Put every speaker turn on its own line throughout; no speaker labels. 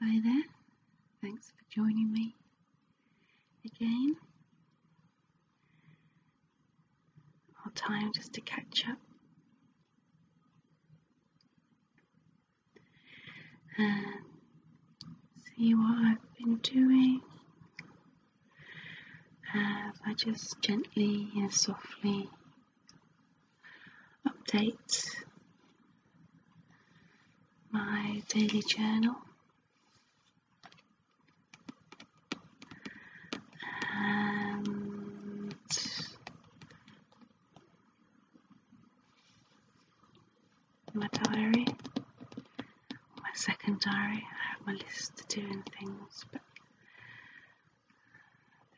Hi there, thanks for joining me again. Our time just to catch up. And um, see what I've been doing as um, I just gently and softly update my daily journal and my diary, my second diary. I have my list to do and things, but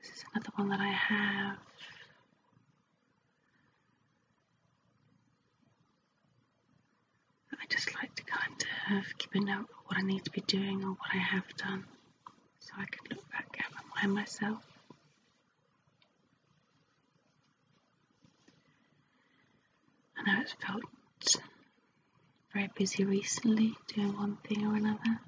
this is another one that I have. I just like to kind of keep a note of what I need to be doing or what I have done so I can look back at and remind myself. I know felt very busy recently doing one thing or another.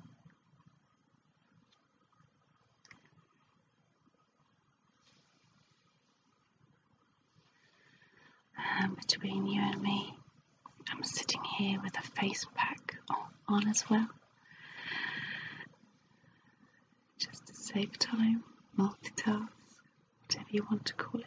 Um, between you and me, I'm sitting here with a face pack on as well, just to save time, multitask, whatever you want to call it.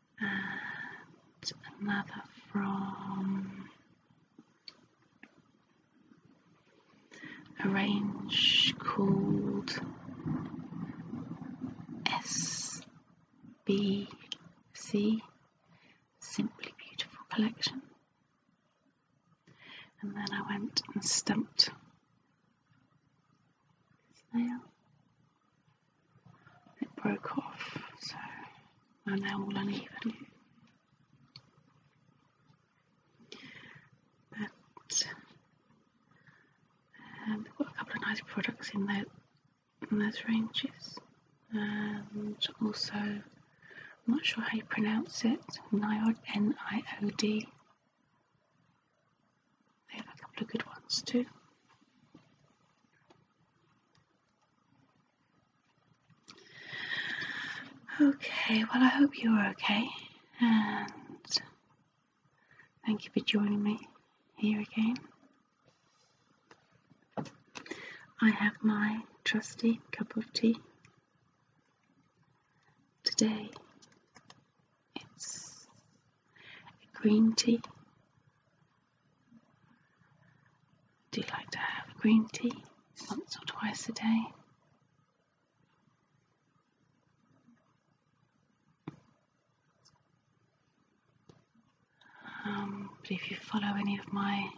and another from a range called SBC, Simply Beautiful Collection. And then I went and stumped snail. It broke off, so I'm now all uneven. But um, they've got a couple of nice products in there in those ranges, and also I'm not sure how you pronounce it. Niod, N-I-O-D. They had a couple of good ones too. Okay, well, I hope you are okay, and thank you for joining me here again. I have my trusty cup of tea. Today it's a green tea. Do you like to have green tea once or twice a day? Um, but if you follow any of my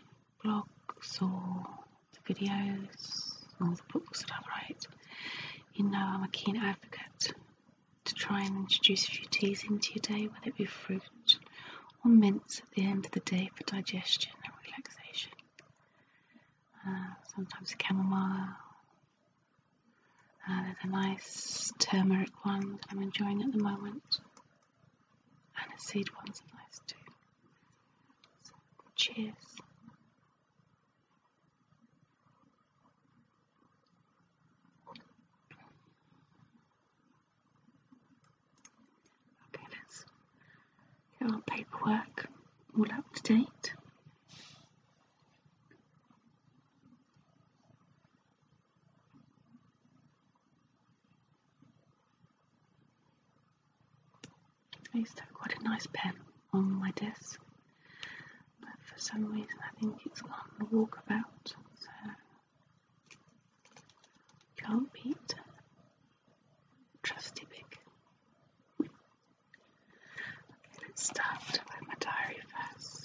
blogs or the videos or the books that I write, you know I'm a keen advocate to try and introduce a few teas into your day, whether it be fruit or mints at the end of the day for digestion and relaxation. Uh, sometimes chamomile. Uh, there's a nice turmeric one that I'm enjoying at the moment. And a seed one's are nice too. cheers. Okay, let's our paperwork all up to date. I used to have quite a nice pen on my desk but for some reason I think it's on the walkabout, so can't beat Trusty Pig. let's start with my diary first.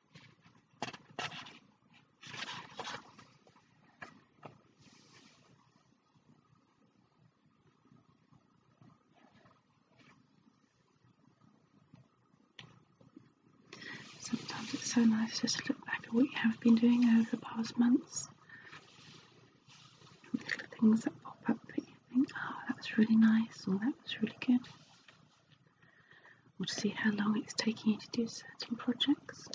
Sometimes it's so nice just to look back at what you have been doing over the past months. Little things that pop up that you think, oh, that was really nice, or that was really good or to see how long it's taking you to do certain projects.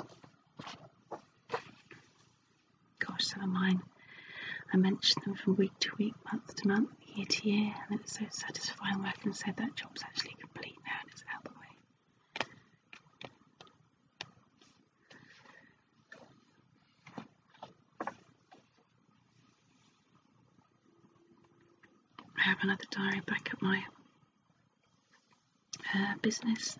Gosh, some of mine, I mention them from week to week, month to month, year to year, and it's so satisfying when I can say that job's actually complete now and it's out the way. I have another diary back at my uh, business,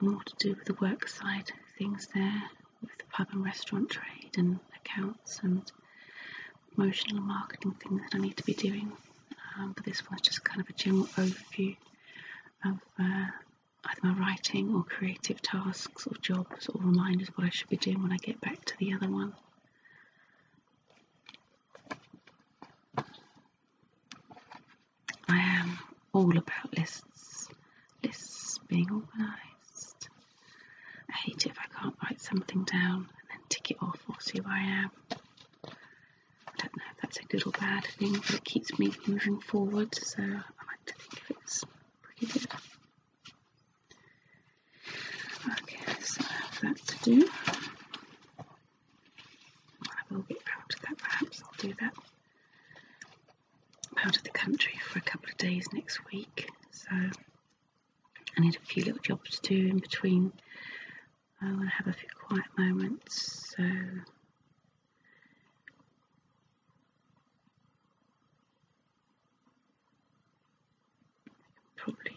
more to do with the work side things there, with the pub and restaurant trade and accounts and promotional marketing things that I need to be doing. Um, but this one's just kind of a general overview of uh, either my writing or creative tasks or jobs or reminders what I should be doing when I get back to the other one. I am all about lists, lists being organised. I hate it if I can't write something down and then tick it off or see where I am. I don't know if that's a good or bad thing, but it keeps me moving forward, so I like to think of it pretty good. Okay, so I have that to do. I will get out of that perhaps I'll do that. i out of the country for a couple of days next week, so I need a few little jobs to do in between. I want to have a few quiet moments, so probably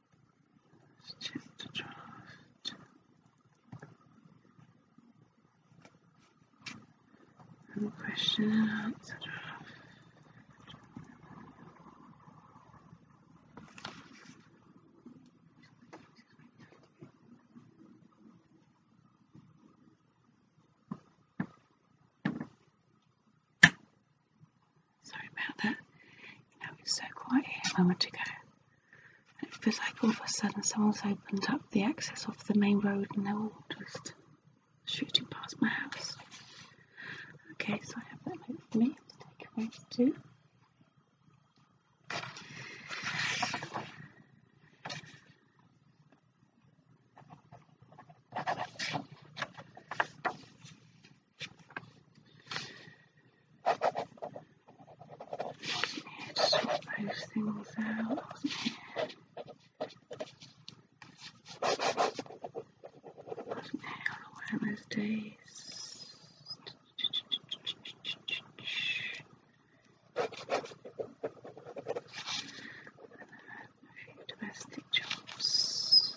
Let's check the draft. And question and answer draft. Sorry about that. You know, it was so quiet here a moment ago. And it feels like all of a sudden someone's opened up the access off the main road and they're all just shooting past my house. Okay, so I have that note for me to take away too. Yeah, just switch those things out. Wasn't here on one of those days. A few domestic jobs.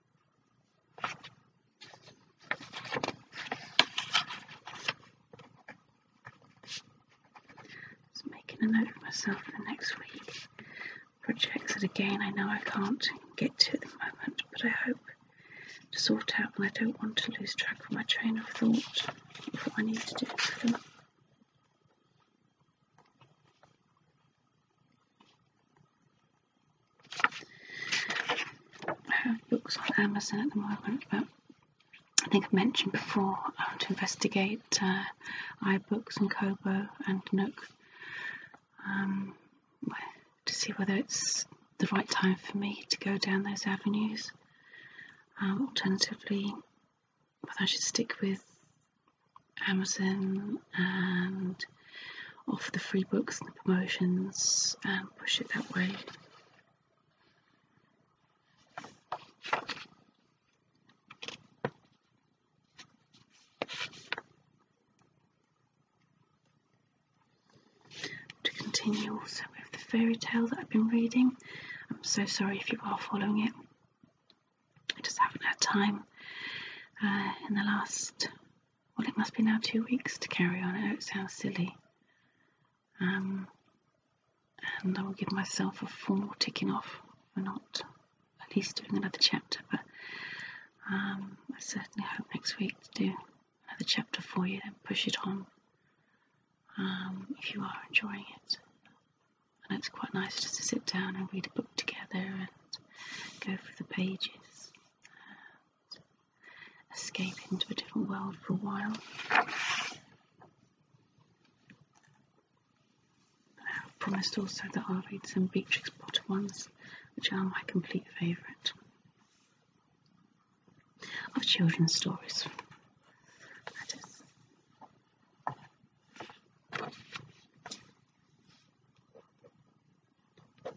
I'm making a note for myself for next week. Projects that again I know I can't get to at the moment, but I hope to sort out and I don't want to lose track of my train of thought what I need to do for them. I have books on Amazon at the moment, but I think I've mentioned before I want to investigate uh, iBooks and Kobo and Nook um, to see whether it's the right time for me to go down those avenues. Um, alternatively, whether I should stick with Amazon and offer the free books and promotions and push it that way. To continue also with the fairy tale that I've been reading, I'm so sorry if you are following it. I just haven't had time uh, in the last well, it must be now two weeks to carry on. it sounds silly. Um, and I will give myself a formal ticking off for not at least doing another chapter. But um, I certainly hope next week to do another chapter for you and push it on um, if you are enjoying it. And it's quite nice just to sit down and read a book together and go through the pages and escape into a different world for a while. I've promised also that I'll read some Beatrix Potter ones, which are my complete favourite of children's stories. Which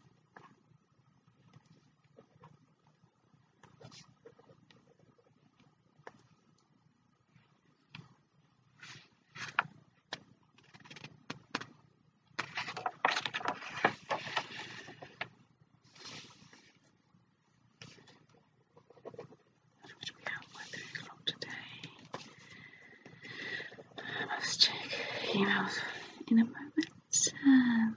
we dealt with a lot today. I must check emails in a moment. Um,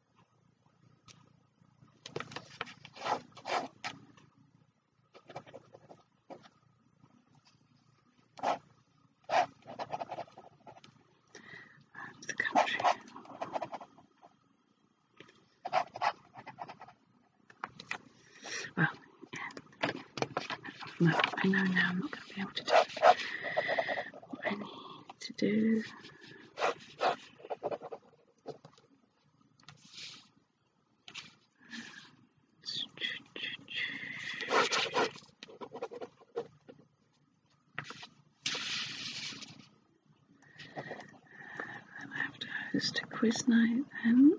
and the country. Well, yeah, no, I know now I'm not going to be able to do what I need to do. I'll have to host a quiz night then.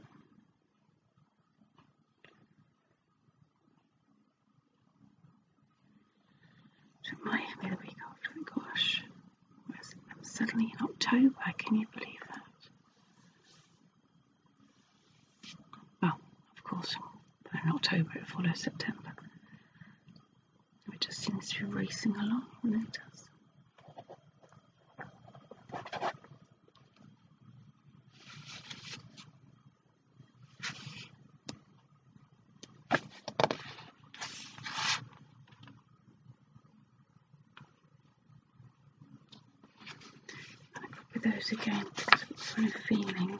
Oh it to Miami the week after. And gosh, I'm suddenly in October. Can you believe that? Well, of course, in October it follows September. It just seems to be racing along, and it does. With those again, because I'm feeling.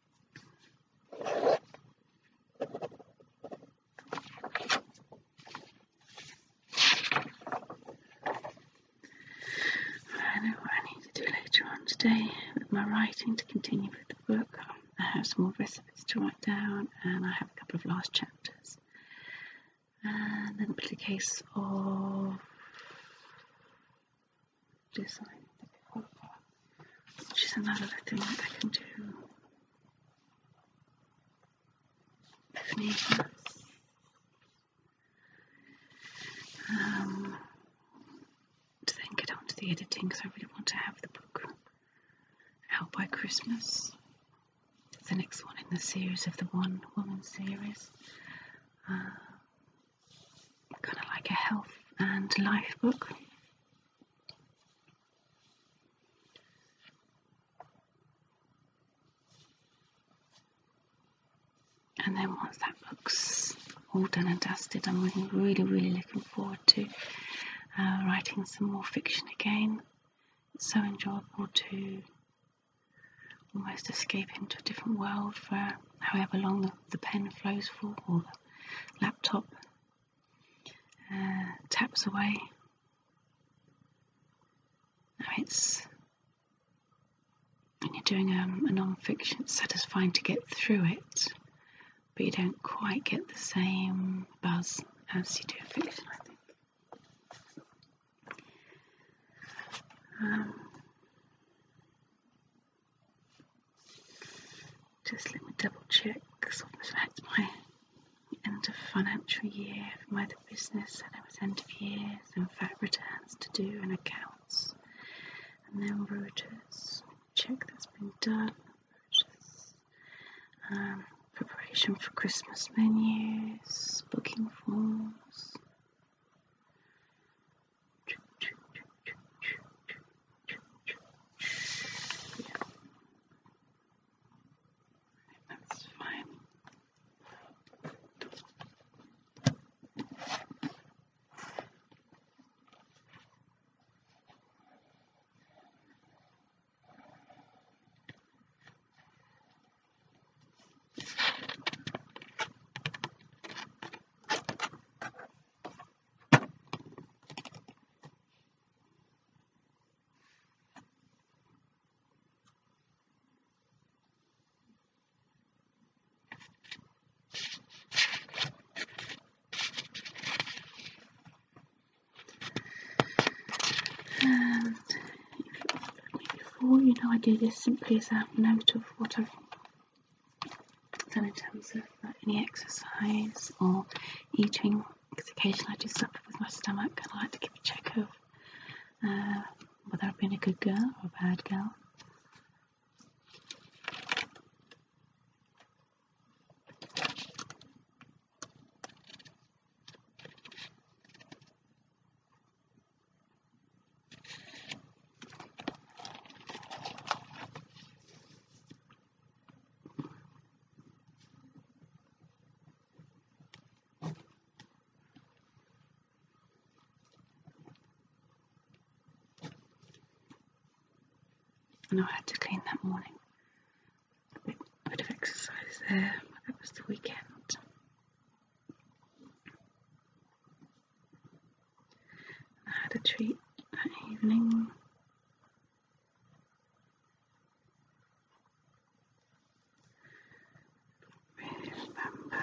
I know what I need to do later on today with my writing to continue with the book. I have some more recipes to write down, and I have a couple of last chapters. And then it'll be a case of design that which is another thing that I can do. Um, to then get on to the editing because I really want to have the book out by Christmas. the next one in the series of the One Woman series. Uh, kind of like a health and life book. And then once that book's all done and dusted, I'm really, really, looking forward to uh, writing some more fiction again. It's so enjoyable to almost escape into a different world for however long the pen flows full or the laptop uh, taps away. Now it's when you're doing um, a non-fiction, it's satisfying to get through it, but you don't quite get the same buzz as you do fiction, I think. Um, just let me double check because I've had my end of financial year for my other business, and there was end of years and VAT returns to do and accounts, and then Reuters. Check that's been done. Reuters. Um, preparation for Christmas menus, booking forms. Yeah. That's fine. And um, if you followed me before, you know I do this simply as a note of what I've so in terms of any exercise or eating, because occasionally I do suffer with my stomach I like to keep a check of uh, whether I've been a good girl or a bad girl and I had to clean that morning. A bit, of exercise there, that was the weekend. I had a treat that evening. remember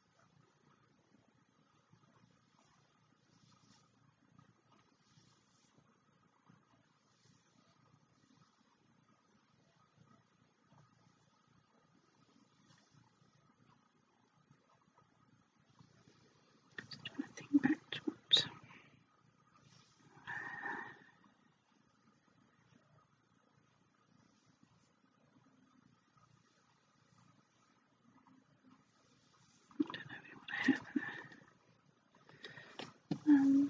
Just trying to think back to what I don't know really what I have in there. Um,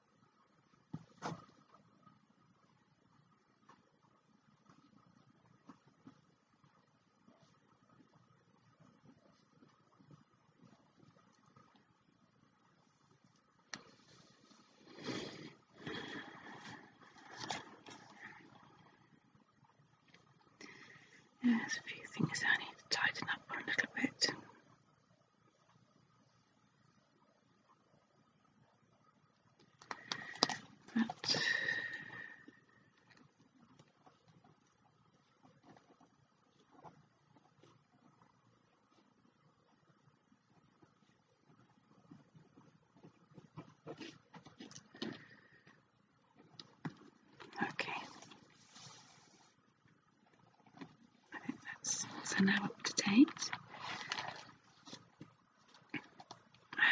There's a few things I need to tighten up a little bit. Okay. I think that's so now up to date. I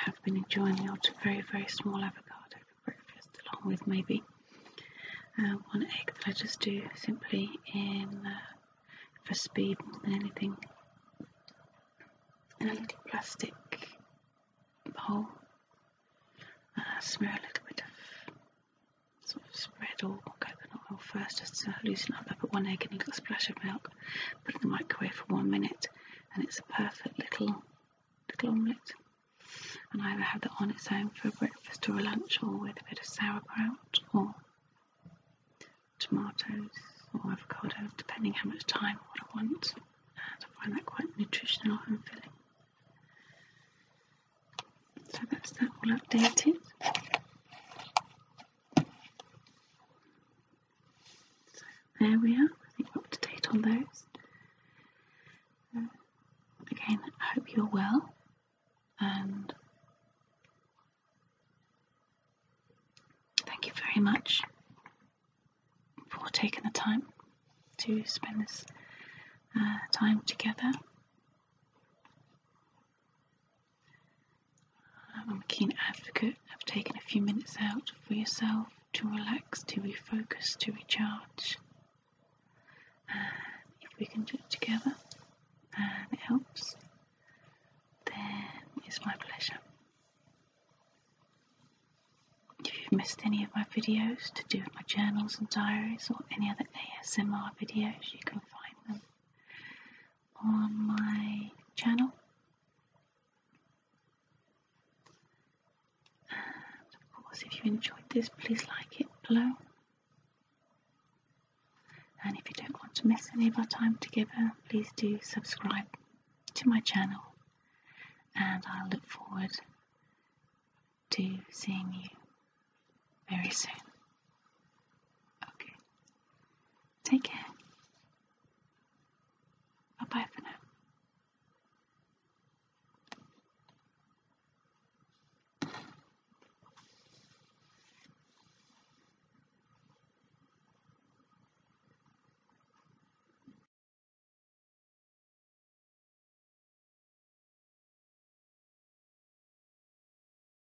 have been enjoying the very very small avocado for breakfast along with maybe uh, one egg that I just do simply in uh, for speed more than anything in a little plastic bowl and I smear a little bit of sort of spread or coconut oil first just to loosen up. I put one egg and a little splash of milk put in the microwave for one minute, and it's a perfect little little omelette. And I either have that on its own for breakfast or lunch, or with a bit of sauerkraut or tomatoes or avocado, depending how much time I want. And I find that quite nutritional and filling. So that's that all updated. There we are, I think we're up to date on those. Uh, again, I hope you're well and thank you very much for taking the time to spend this uh, time together. I'm a keen advocate of taking a few minutes out for yourself to relax, to refocus, to recharge. if we can do it together and it helps, then it's my pleasure. If you've missed any of my videos to do with my journals and diaries or any other ASMR videos, you can find them on my channel. And of course, if you enjoyed this, please like it below. And if you don't want to miss any of our time together, please do subscribe to my channel. And I look forward to seeing you very soon. Okay. Take care. Bye for now.